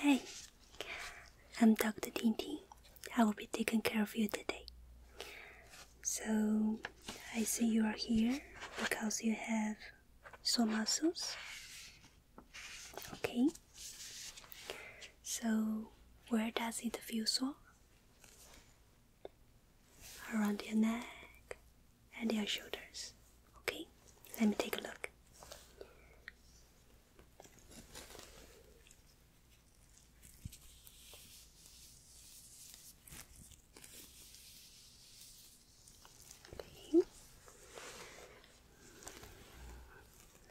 Hey, I'm Dr. Tintin. I will be taking care of you today. So, I see you are here because you have sore muscles. Okay. So, where does it feel sore? Around your neck, and your shoulders. Okay, let me take a look.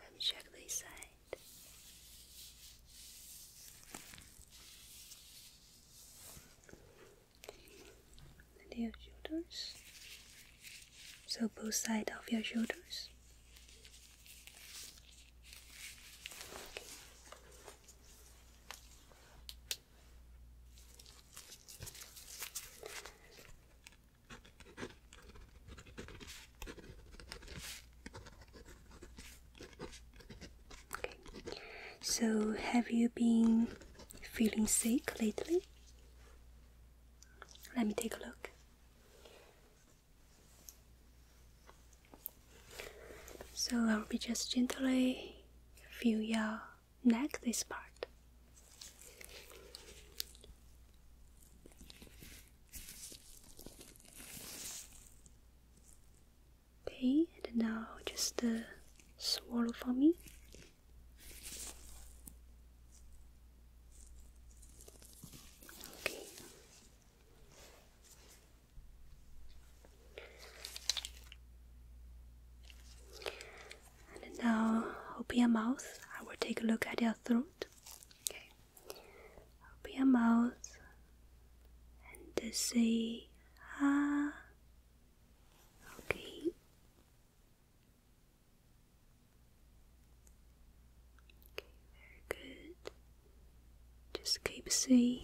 Let me check this side and your shoulders. So both sides of your shoulders. Okay. So, have you been Feeling sick lately? Let me take a look. So I'll be just gently feel your neck, this part. Okay, and now just uh, swallow for me. Okay. And now open your mouth. I will take a look at your throat. Okay. Open your mouth and say ah Okay. Okay, very good. Just keep saying.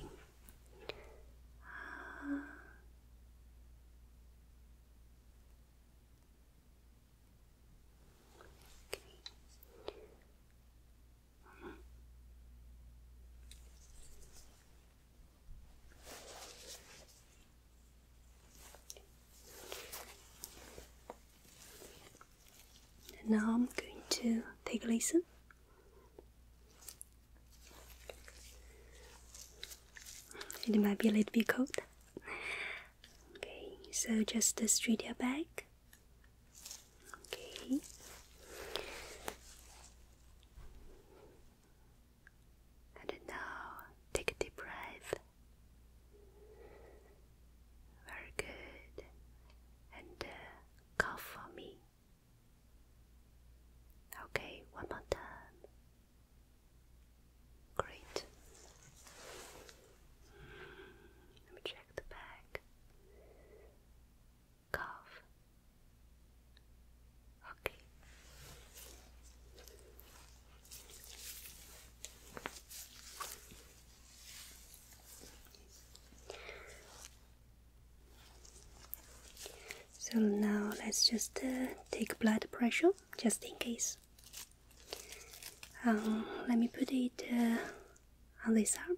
And now I'm going to take a listen. It might be a little bit cold. Okay, so just uh, straight your back. Okay. And now take a deep breath. Very good. And uh, cough for me. Okay, one more time. Great. Let me check the back. Cough. Okay. So now let's just uh, take blood pressure just in case. Um, let me put it uh, on this arm.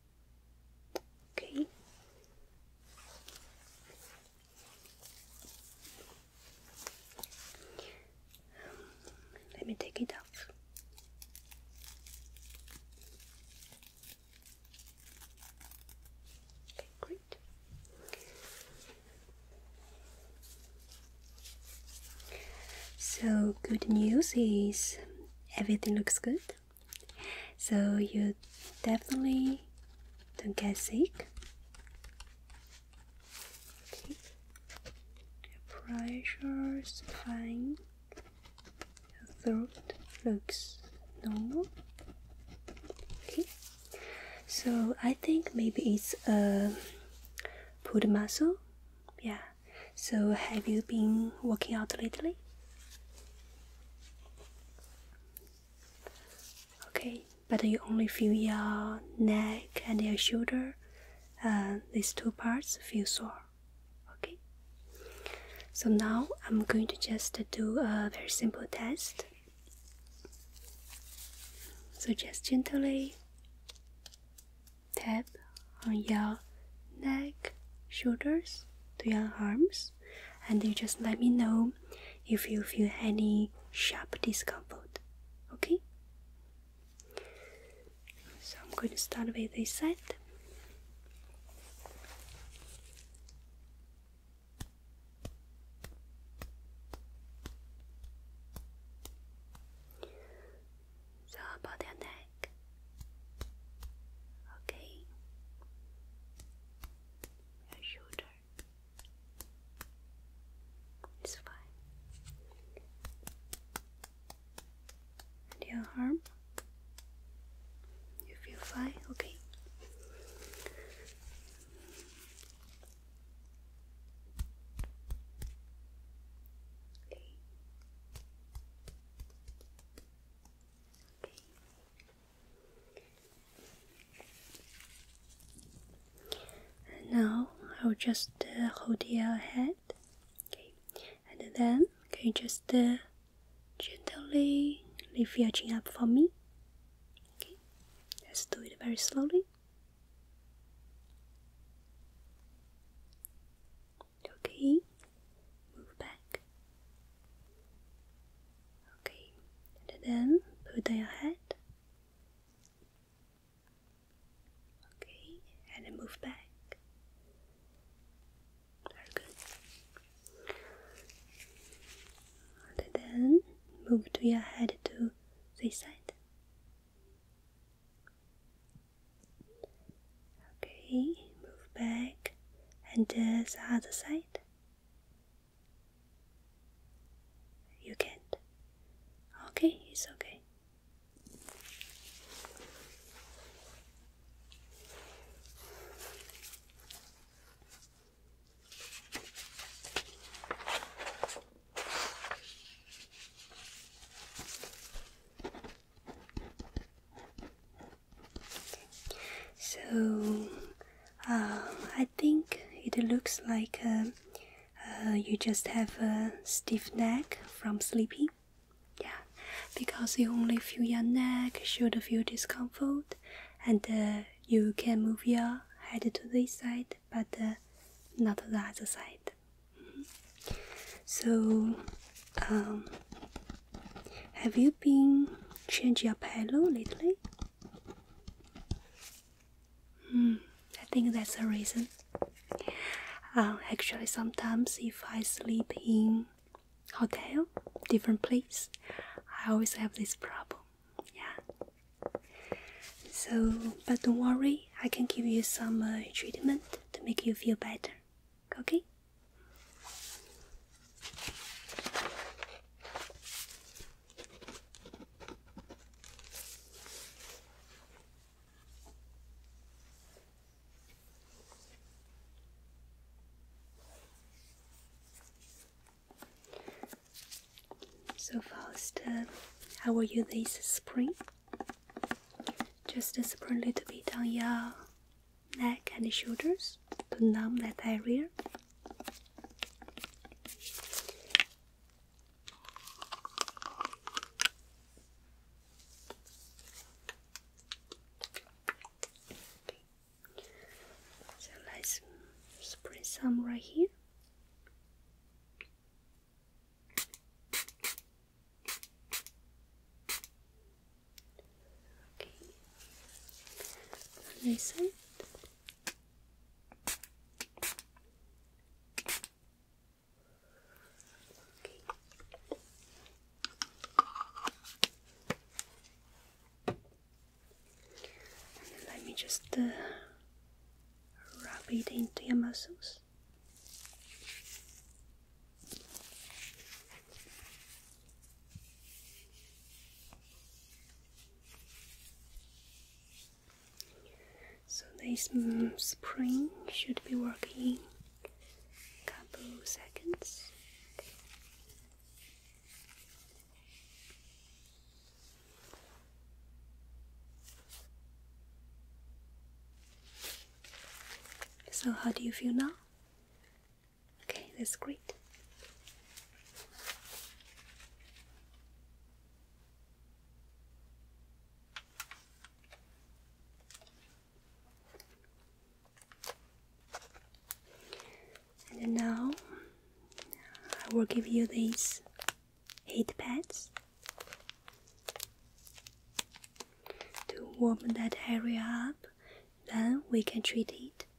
Okay. Let me take it off. Okay, great. So, good news is everything looks good so you definitely don't get sick. Okay. The pressure's fine. Your throat looks normal. Okay. So I think maybe it's a um, pulled muscle. Yeah. So have you been working out lately? Okay, but you only feel your neck and your shoulder, uh, these two parts feel sore. Okay, so now I'm going to just do a very simple test. So just gently tap on your neck, shoulders, to your arms and you just let me know if you feel any sharp discomfort. Okay? So I'm going to start with this side. So about your neck. Okay your shoulder. It's fine. And your arm? You feel fine? Okay. Okay. Okay. And now I'll just uh, hold your head, okay, and then can you just uh, gently lift your chin up for me. Okay, let's do it very slowly. Okay, move back. Okay, and then put your head. Okay, and move back. Very good. then move to your head to this side. Okay, move back and the other side. You can't. Okay, it's okay. So um, I think it looks like uh, uh, you just have a stiff neck from sleeping. Yeah, because you only feel your neck should feel discomfort, and uh, you can move your head to this side, but not the other side. Mm-hmm. So, um, have you been changing your pillow lately? Hmm, I think that's the reason. Uh, actually, sometimes if I sleep in hotel, different place, I always have this problem. Yeah. So, but don't worry, I can give you some uh, treatment to make you feel better okay? So Faust, uh, how were you this spring? Just spring a little bit on your neck and shoulders to numb that area. So let's spray some right here. Okay. This let me just uh, rub it into your muscles. So this mm, spring should be working a couple seconds. So how do you feel now? Okay, that's great. And now I will give you these heat pads to warm that area up. Then we can treat it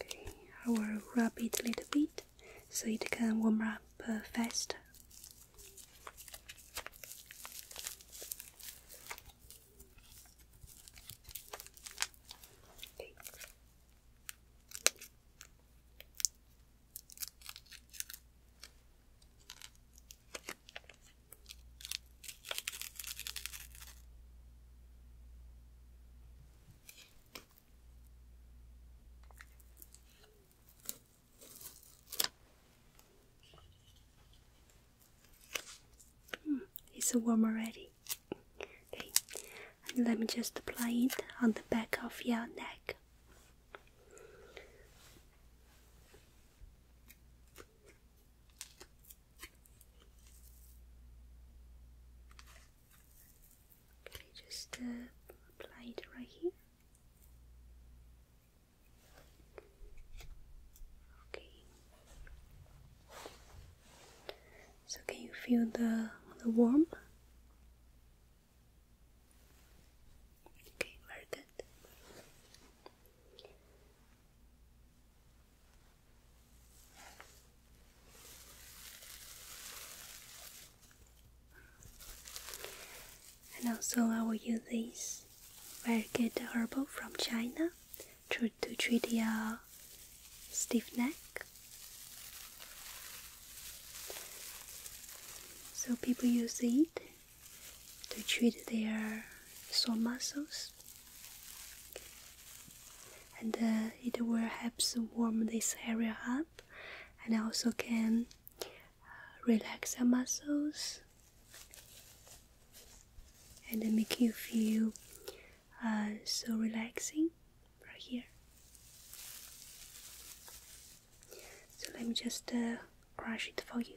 Okay, I will rub it a little bit so it can warm up uh, faster it's warm already and let me just apply it on the back of your neck. Okay, just apply uh, it right here. Okay. So can you feel the the warmth? Okay, very good. And also, I will use this very good herbal from China to, to treat your stiff neck so people use it to treat their sore muscles, and uh, it will help warm this area up, and also can uh, relax your muscles and make you feel uh, so relaxing right here. So let me just uh, crush it for you.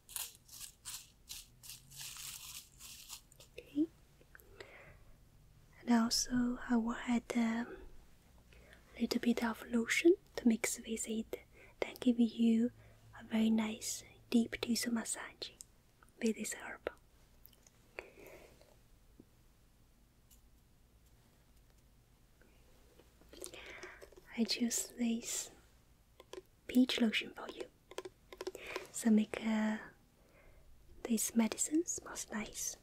And also, I will add um, a little bit of lotion to mix with it, then give you a very nice deep tissue massage with this I choose this peach lotion for you. So make uh, this medicine smells nice.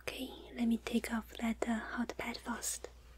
Okay. let me take off that uh, hot pad first.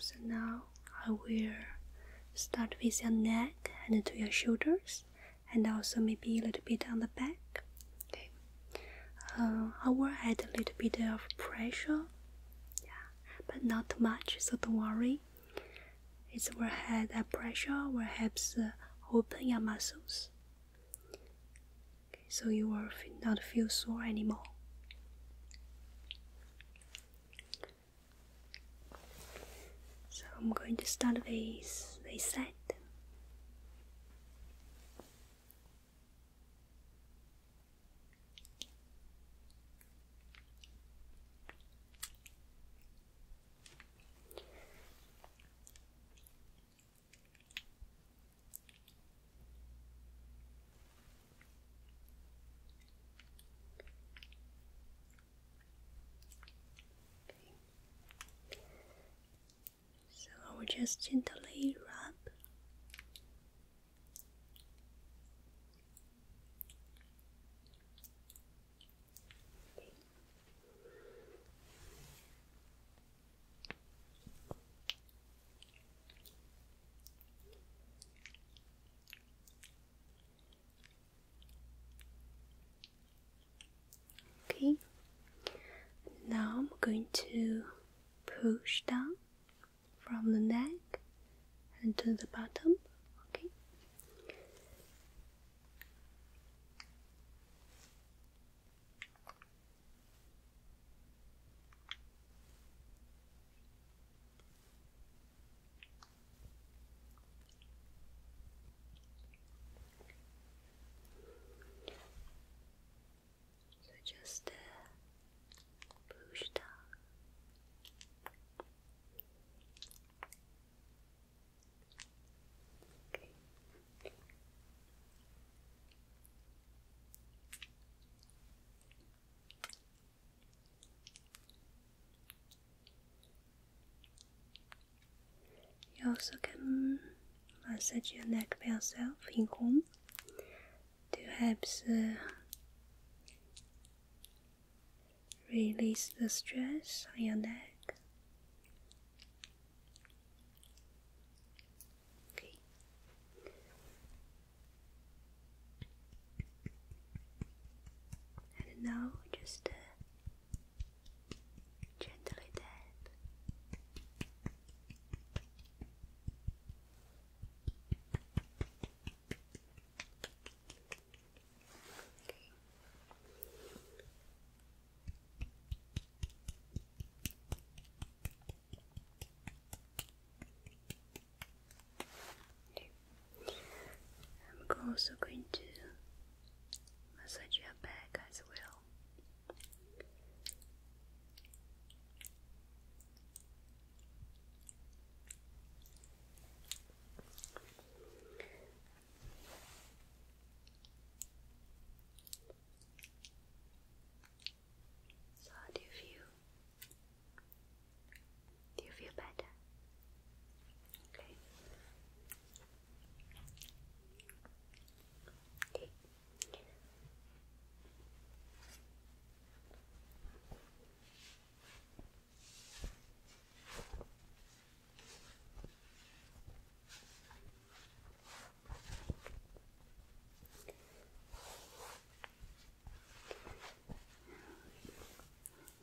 So now I will start with your neck and to your shoulders, and also maybe a little bit on the back. Okay. Uh, I will add a little bit of pressure. Yeah but not much, so don't worry. It's will head pressure will help open your muscles, so you will not feel sore anymore. So I'm going to start this this set. So I will just gently rub Okay, now I'm going to push down from the neck and to the bottom. Okay. So just uh, 봅시다. 오케이. You also can massage your neck by yourself in home perhaps uh, release the stress on your neck. And now just uh, gently tap. I'm also going to massage your back as well. So do you feel? Do you feel better? Okay.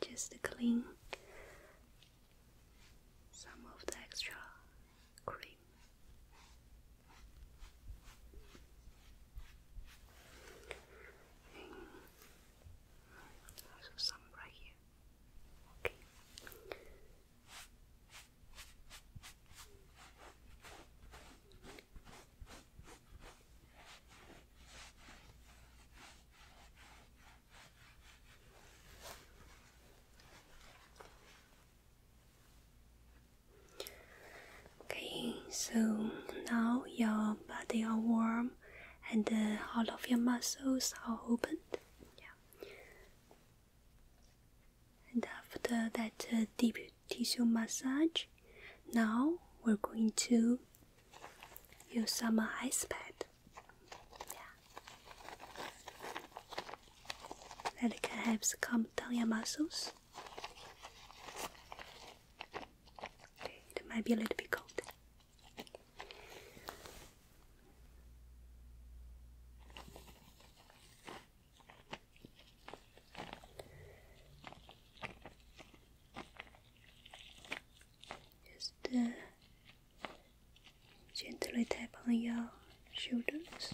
Just clean some of the extra cream thing. Also some right here. Okay. Okay, so now your body are warm and all of your muscles are opened. Yeah. And after that uh, deep tissue massage, now we're going to use some ice pad. Yeah. That can help calm down your muscles it might be a little bit cold. Just uh, gently tap on your shoulders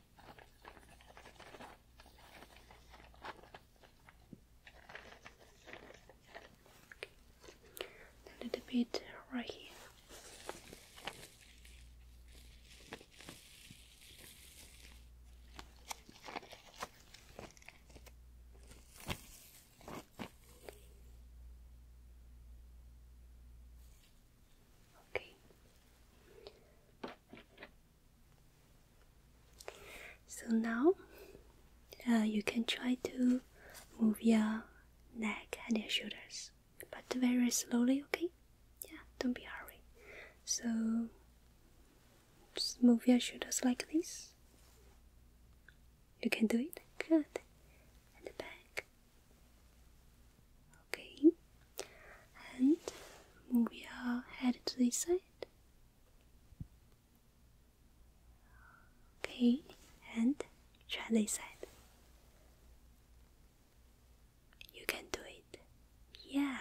A little bit right here. Okay. So now uh, you can try to move your neck and your shoulders, but very slowly, okay? Yeah, don't be hurry. So move your shoulders like this. You can do it. Good. And back. Okay and we are headed to this side. Okay, and try this side. You can do it. Yeah,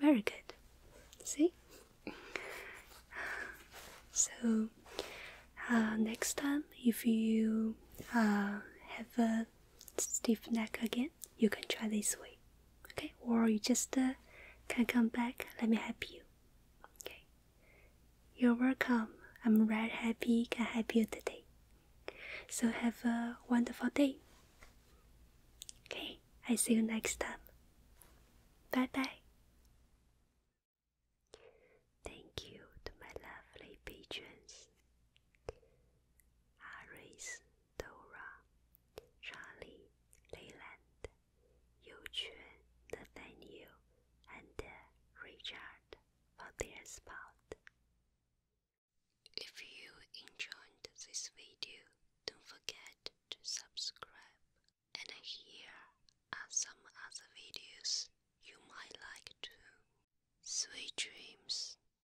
very good. See? so, uh, next time, if you uh, have a stiff neck again, you can try this way okay or you just uh, can come back let me help you okay you're welcome i'm right happy can help you today so have a wonderful day okay i see you next time bye bye thank you to my lovely patrons Aries Dora, Charlie, Leyland, Yuquan, Nathaniel, and uh, Richard for their support. If you enjoyed this video, don't forget to subscribe. And here are some other videos you might like too. Sweet dreams.